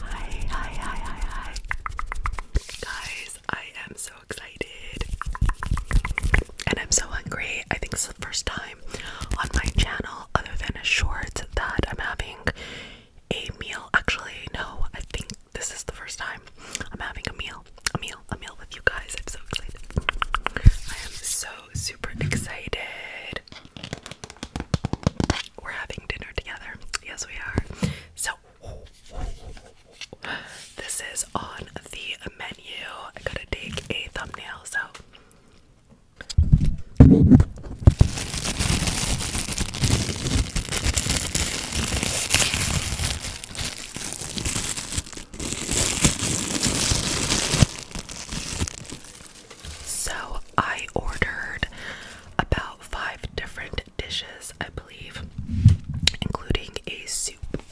Hi, hi, hi, hi, hi. Guys, I am so excited. And I'm so hungry. I think it's the first time on my channel, other than a short, that I'm having a meal. Actually, no, I think this is the first time I'm having a meal. A meal, a meal with you guys. I'm so excited. I am so super excited. We're having dinner together. Yes, we are. So, this is on the menu. I gotta take a thumbnail, so. So I ordered about five different dishes, I believe, including a soup.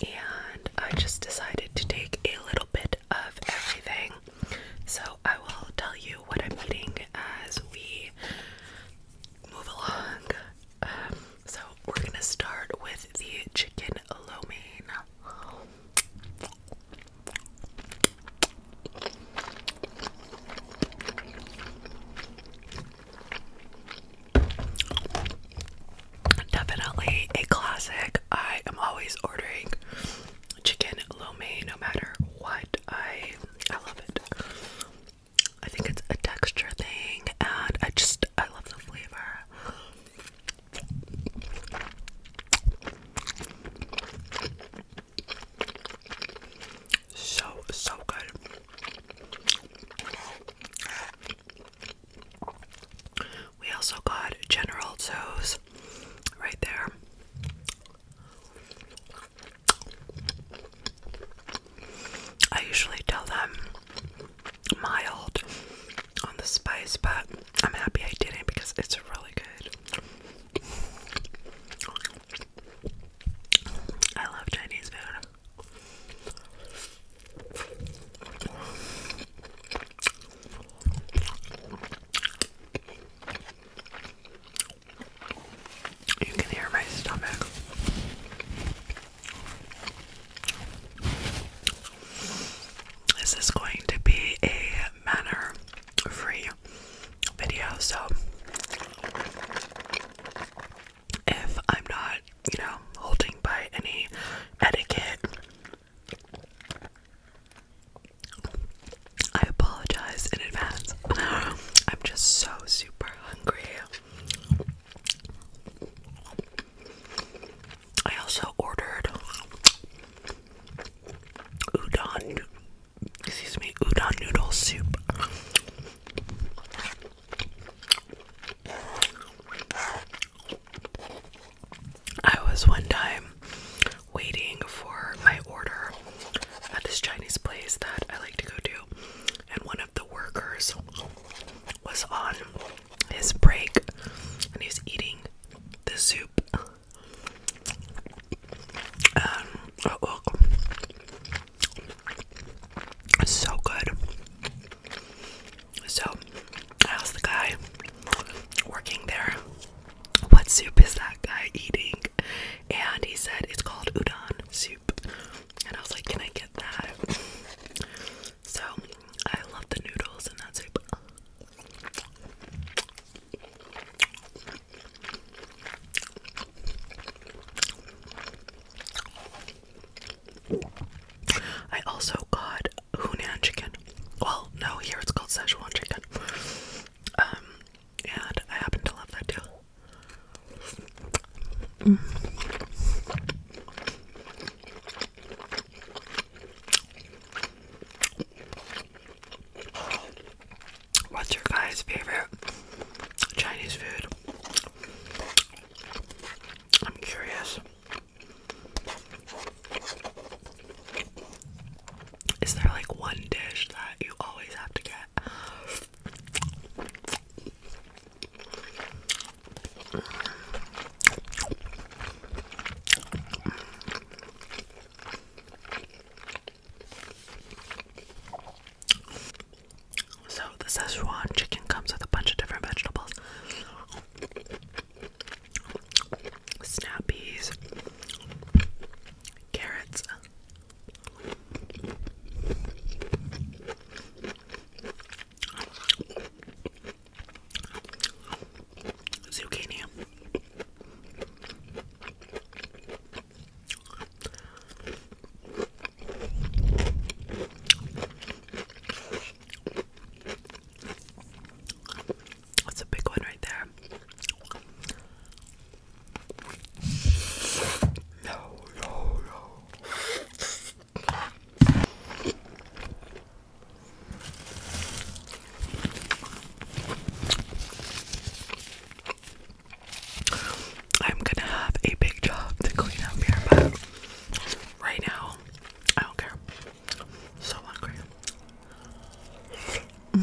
And I just decided to take a little bit of everything. So I will tell you what I'm eating as we move along. Um, so we're gonna start with the chicken chicken lo mein. Definitely a classic. I am always ordering chicken lo mein no matter what. I I love it. I think it's a texture thing and I just I love the flavor. So, so good. We also got General Tso's right there. I usually tell them mild on the spice, but I'm happy I didn't because it's really good. I love Chinese food. You can hear my stomach this is going to be a manner free video, so if I'm not, you know, holding by any etiquette, I apologize in advance. I'm just so super hungry. I also ordered udon, excuse me, udon noodle soup. I was one time waiting for my order at this Chinese place that I like to go to, and one of the workers was on his break and he's eating the soup. Um, oh, oh. so good. So, I asked the guy working there, what soup is that guy eating? And he said, it's called udon soup. And I was like, can I get that? So I love the noodles and that soup. I also got Hunan chicken. Well, no, here it's called Szechuan chicken. Um, and I happen to love that too. What's your guys' favorite Chinese food? I'm curious. Is there like one dish that you always have to get? So, the Szechuan chicken comes with a bunch of different vegetables snap peas, carrots, Zucchini. That's a big one right there. No, no, no. I'm gonna have a big job to clean up here, but right now I don't care. So hungry.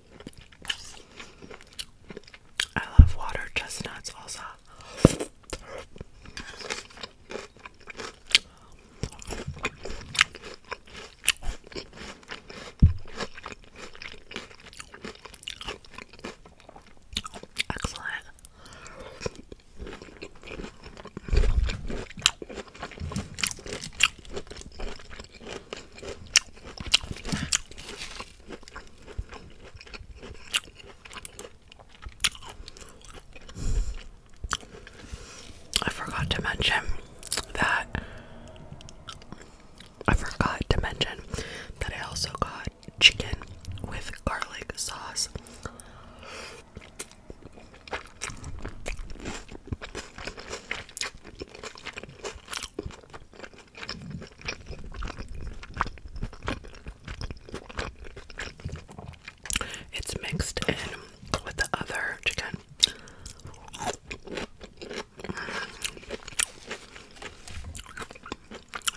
I love water chestnuts also. Excellent. I forgot to mention that I forgot to mention that I also got chicken with garlic sauce. It's mixed in with the other chicken. Mm.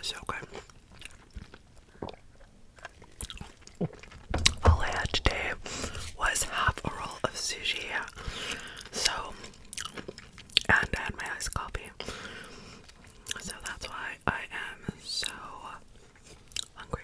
So good all I had today was half a roll of sushi. So, and I had my iced coffee. So that's why I am so hungry.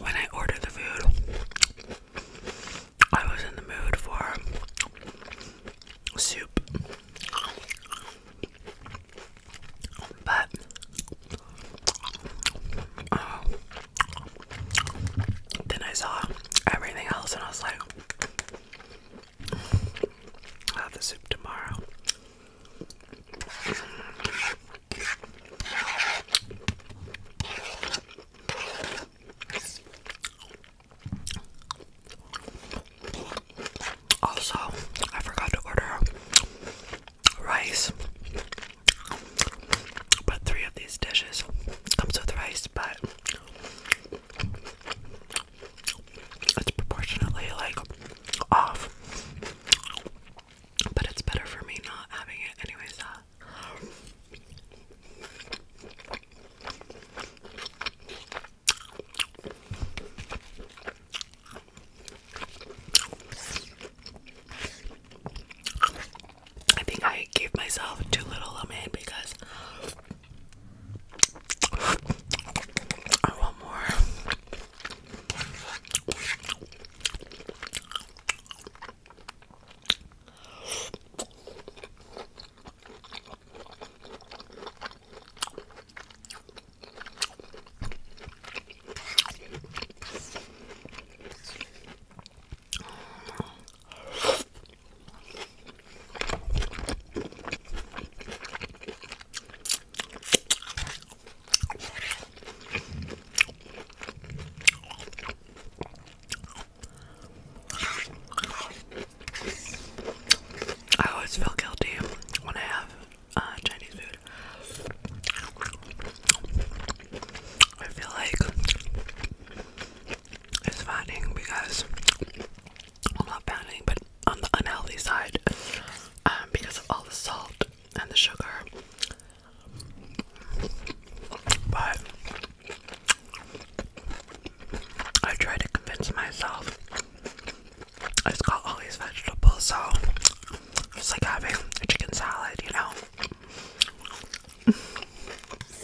When I ordered the food, I was in the mood for soup, but uh, then I saw everything else and I was like, I'll have the soup tomorrow. Also, I forgot to order rice. But three of these dishes comes with rice, but it's proportionately like off, but it's better for me not having it, anyways. Uh. I think I gave myself too little lemon because I want more. I always feel guilty when I have uh, Chinese food. I feel like it's fattening because I'm not fattening but on the unhealthy side um, because of all the salt and the sugar but I try to convince myself it's got all these vegetables so it's like having a chicken salad you know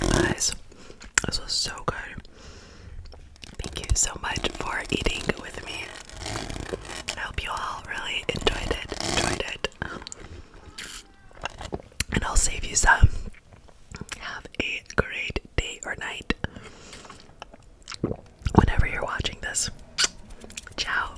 Guys, this was so good. Thank you so much for eating with me. I hope you all really enjoyed it. Enjoyed it. And I'll save you some. Have a great day or night. Whenever you're watching this. Ciao.